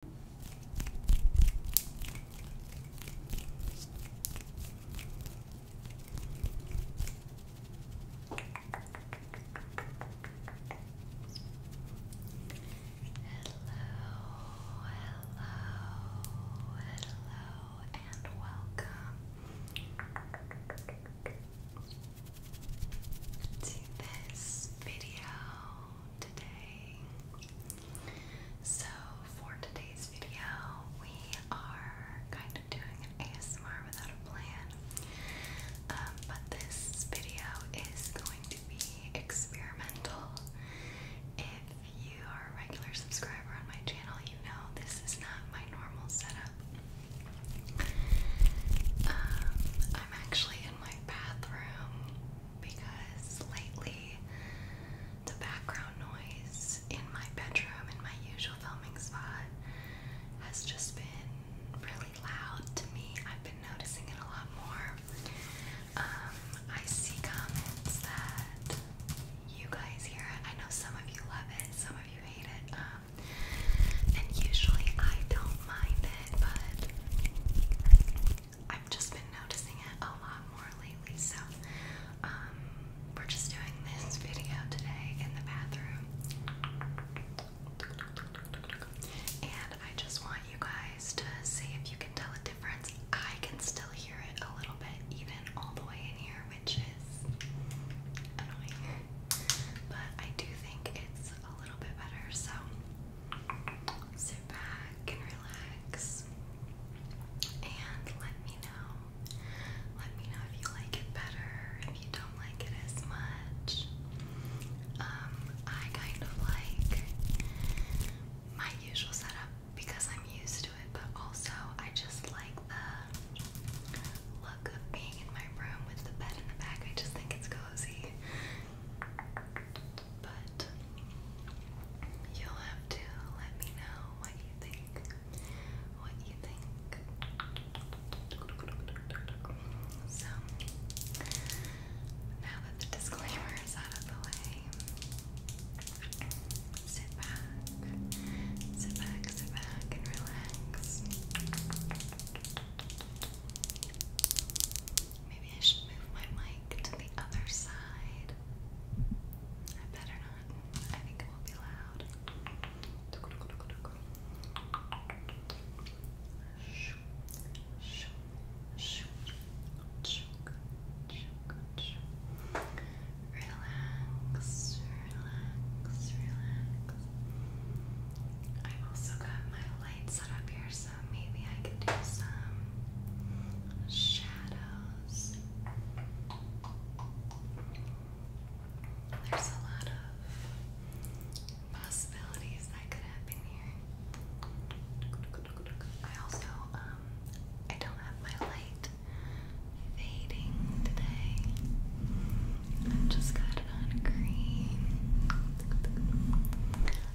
hello, hello, and welcome to this video. So, for today's video, we are kind of doing an ASMR without a plan. Um, but this video is going to be experimental. If you are a regular subscriber on my channel, you know this is not my normal setup. Um, I'm actually in my bathroom because lately the background noise in my bedroom, in my usual filming spot, has just been really loud to me. I've been noticing it a lot more. Um, I see comments that you guys hear it. I know some of you love it, some of you hate it. Um, and usually I don't mind it, but I've just been noticing it a lot more lately, so um, we're just doing this video today in the bathroom. And I just want you guys to see if you can tell a difference. I can still hear it a little bit, even all the way in here, which is annoying. But I do think it's a little bit better, so sit back and relax and let me know. Let me know if you like it better, if you don't like it as much. Um, I kind of like my usual setup because I'm used to it, but also I just like the look of being in my room with the bed in the back. I just think it's cozy. But you'll have to let me know what you think. What you think. So, now that the disclaimer out of the way, sit back. Sit back, sit back, and relax. Maybe I should move my mic to the other side. I better not. I think it will be loud. Relax, relax, relax. I've also got my lights set up here, so maybe I can do some shadows. There's a lot of possibilities that could happen here. I also, um, I don't have my light fading today. I just got it on green.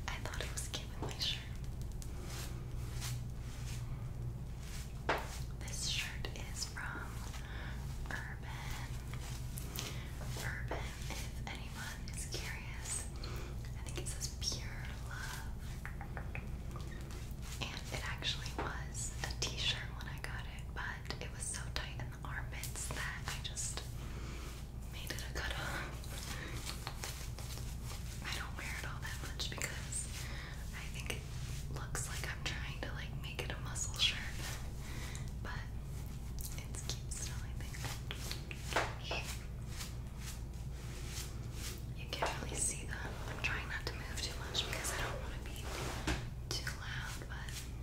I thought it was cute shirt. This shirt is from Urban. Urban, if anyone is curious, I think it says Pure Love. And it actually was a t shirt when I got it, but it was so tight armpits that I just made it a cut I don't wear it all that much because I think it looks like I'm trying to like make it a muscle shirt. But it's cute still, I think. You can't really see them. I'm trying not to move too much because I don't want to be too loud, but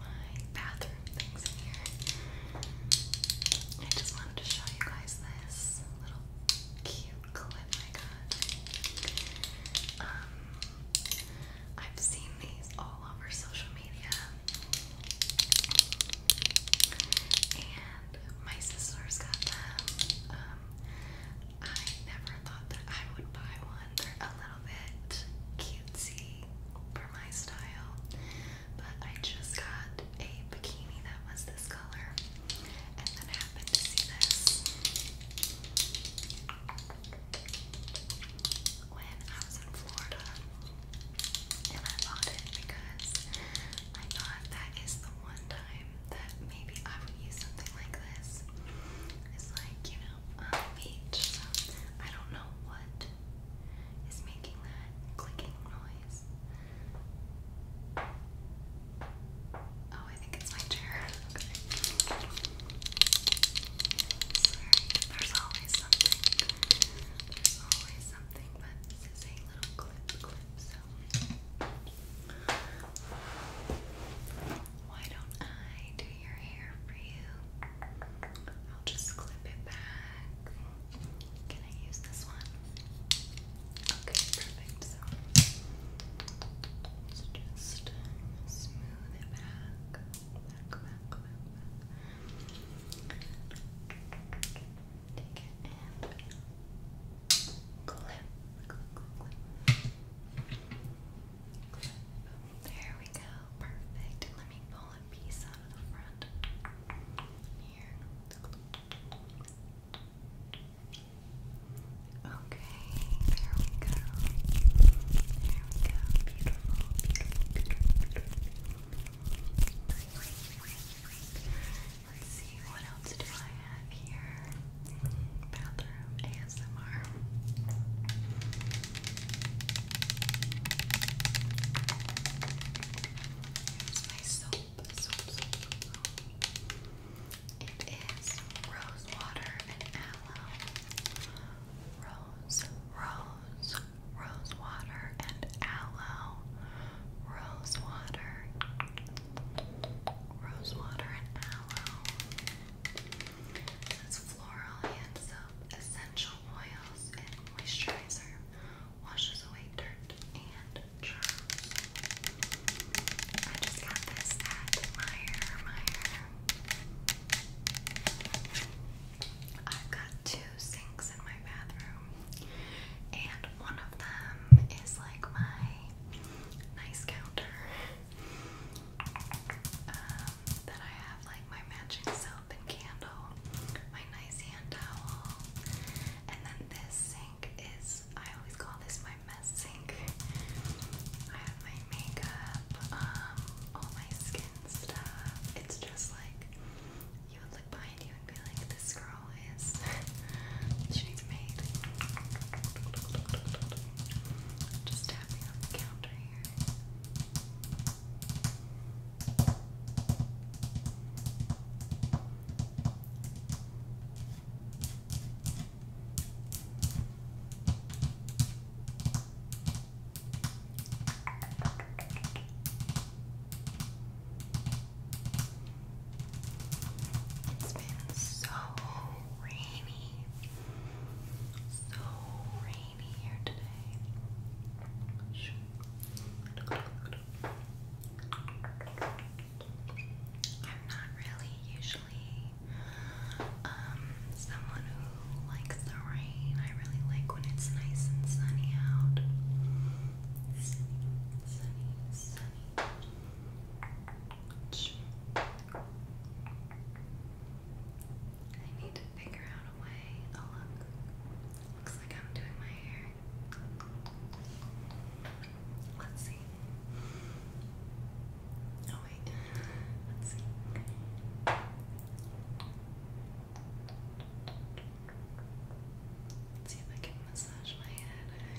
my bathroom things in here. I just wanted to show you guys this little cute clip I got. Um, I've seen these all over social media. And my sister's got them. Um, I never thought that I would buy one little bit cutesy for my style, but I just got a bikini that was this color, and then happened to see this when I was in Florida, and I bought it because I thought that is the one time that maybe I would use something like this. It's like, you know, beach. I don't know what is making that clicking noise. Oh, I think it's my chair. Okay. there's always something. There's always something, but this is little clip clip, so why don't I do your hair for you. I'll just clip it back. Can I use this one? Okay, perfect. So let just uh, smooth it back. Back, back, back, back. Take it and clip, clip, clip. Clip. There we go perfect. Let me pull a piece out of the front here. Okay, there we go. There we go. Beautiful, beautiful, beautiful. Let's see, what else do I have here? About bedroom ASMR. Here's my soap. It is rose water and aloe. Rose, rose, rose water and aloe. Rose water. Rose water and aloe. This floral hand soap, essential oils, and moisturizer washes away dirt and germs. I just got this at Meyer Meyer. I've got two sinks in my bathroom, and one of them is like my nice counter. Um, I have like my matching soap and candle, my nice hand towel, and then this sink is I always call this my mess sink. I have my makeup, um, all my skin stuff. It's just like you would look behind you and be like, this girl is she needs made. Just tapping on the counter here. It's been so rainy. So rainy here today. I'm not really usually um, someone who likes the rain. I really like when it's nice and sunny out. I need to figure out a way. Oh, look. Looks like I'm doing my hair. Let's see. Oh, wait. Let's see. see if I can massage my head.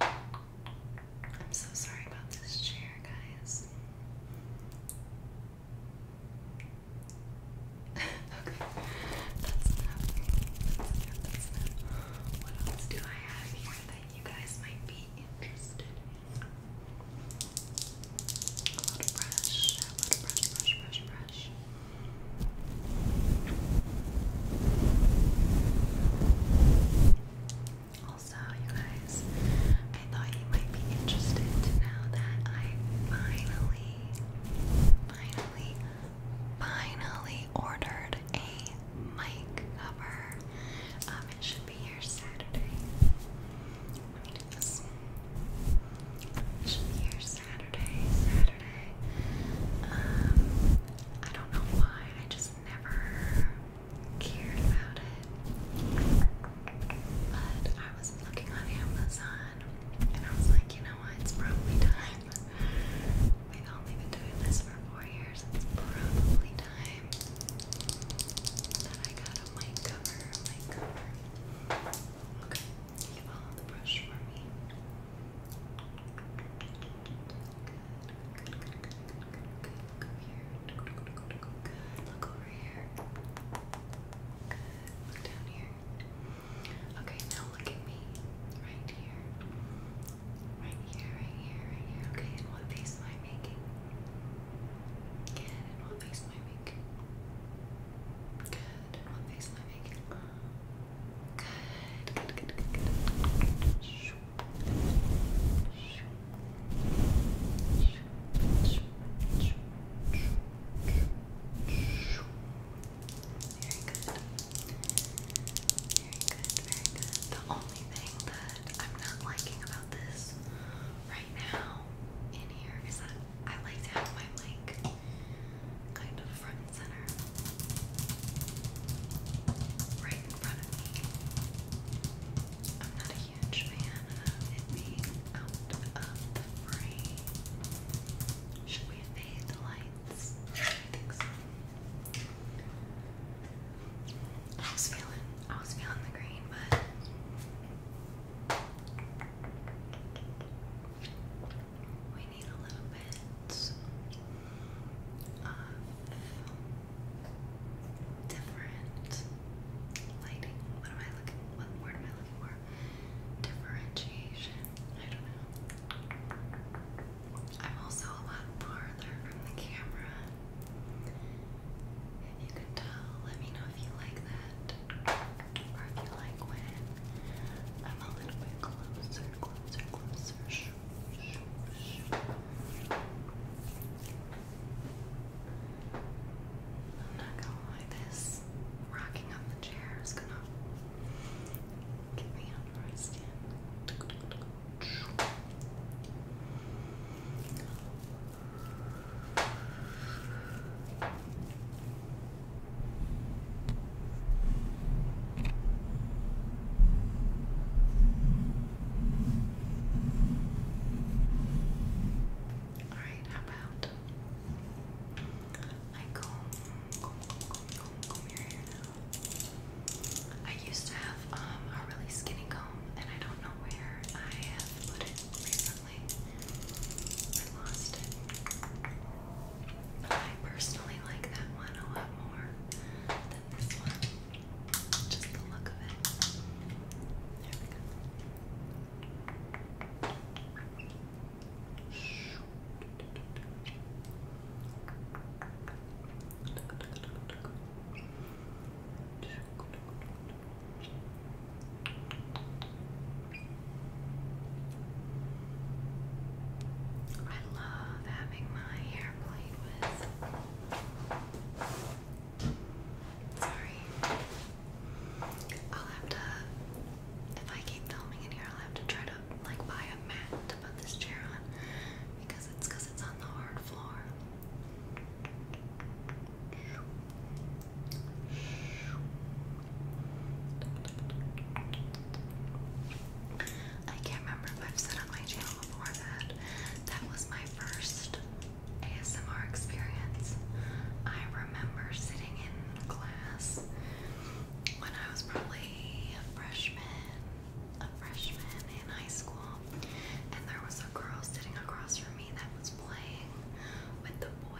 There we go. I'm so sorry about this chair, guys. What else do I have here that you guys might be interested in? A lot brush, a lot brush, brush, brush, brush. Also, you guys, I thought you might be interested to know that I finally, finally, finally ordered a mic cover. Um, it should be here Saturday. should be here Saturday. Um, I don't know why, I just never cared about it. But I was looking on Amazon and I was like, you know what, it's probably time. We've only been doing this for four years, it's probably time that I got a mic cover, mic you follow the brush for me good, good. Look over here. Good. Look down here. Okay, now look at me. Right here. Right here, right here, right here. Okay, and what face am I making? Good, and what face am I making? Good, and what face am I making good, good, good, good, good. Shoo. Shoo. Shoo. Shoo. Shoo. Shoo. Very good. Very good, very good. The only thing that I'm not liking about this right now in here is that I like to my like kind of front and center, right in front of me. I'm not a huge fan of the frame. Should we fade the lights? I was feeling, I was feeling the green, but need a little bit of different lighting. What am I looking? What word am I looking for? Differentiation. I don't know. I'm also a lot farther from the camera. If you can tell, let me know if you like that. Or if you like when I'm a little bit closer closer, closer. Shh, shh, shh. I'm not gonna lie, this rocking on the chair is gonna get me out of where I stand. Okay. All right, how about I comb, comb, comb, comb, comb your hair now? I used to have um, a really skinny comb, and I don't know where I have put it recently. I lost it. I personally like that one a lot more than this one. Just the look of it. I love having my hair played with. Sorry. I'll have to, if I keep filming in here, I'll have to try to like buy a mat to put this chair on because it's because it's on the hard floor. I can't remember if I've said on my channel before that that was my first ASMR experience. I remember sitting in class when I was probably a freshman, a freshman in high school, and there was a girl sitting across from me that was playing with the boy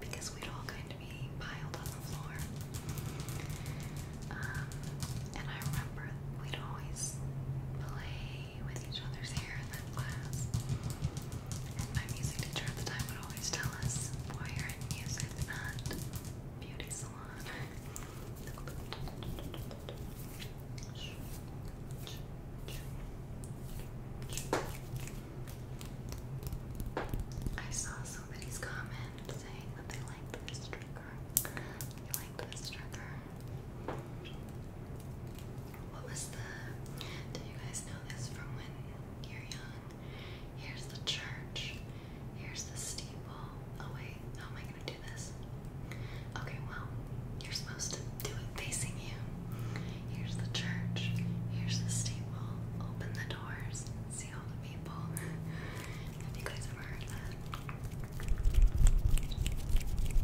because we'd all kind of be piled on the floor. Um, and I remember we'd always play with each other's hair in class. And my music teacher at the time would always tell us, boy, are in music, not beauty salon. I saw somebody's comment saying that they liked this trigger. You liked this trigger. What was the. Do you guys know this from when you're young? Here's the church. Here's the steeple. Oh, wait. How am I gonna do this? Okay, well, you're supposed to do it facing you. Here's the church. Here's the steeple. Open the doors. See all the people. Have you guys ever heard that?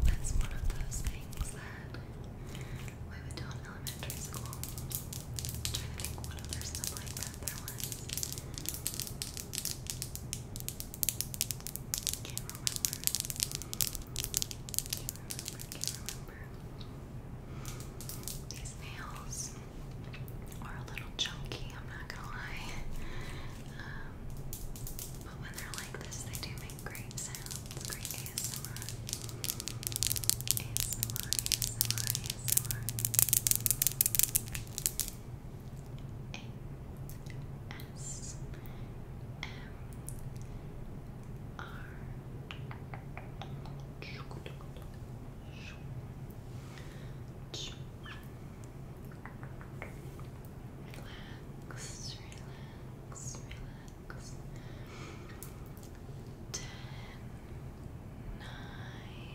That's one of those things that we would do in elementary school. I'm think what other stuff like that there was remember. These nails are a little chunky, I'm not gonna lie. Um, but when they're like this, they do make great sounds. Great ASMR. ASMR, ASMR, ASMR. A S M R. Relax, relax, relax. Ten, nine,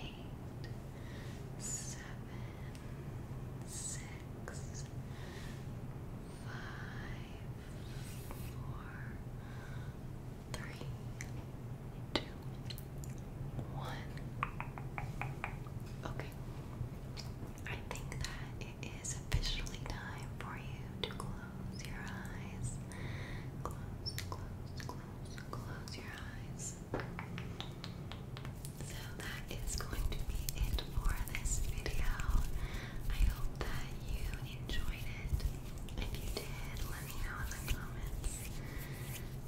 eight, seven, six, five, four, three, two, one. Okay. I think that it is officially time for you to close your eyes. Close, close, close, close your eyes. So that is going to be it for this video. I hope that you enjoyed it. If you did, let me know in the comments.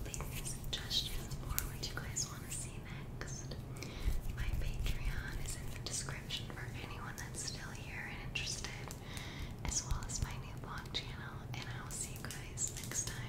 Leave me suggestions for what you guys want to see next. My Patreon is in the description for anyone that's still here and interested, as well as my new blog channel, and I will see you guys next time.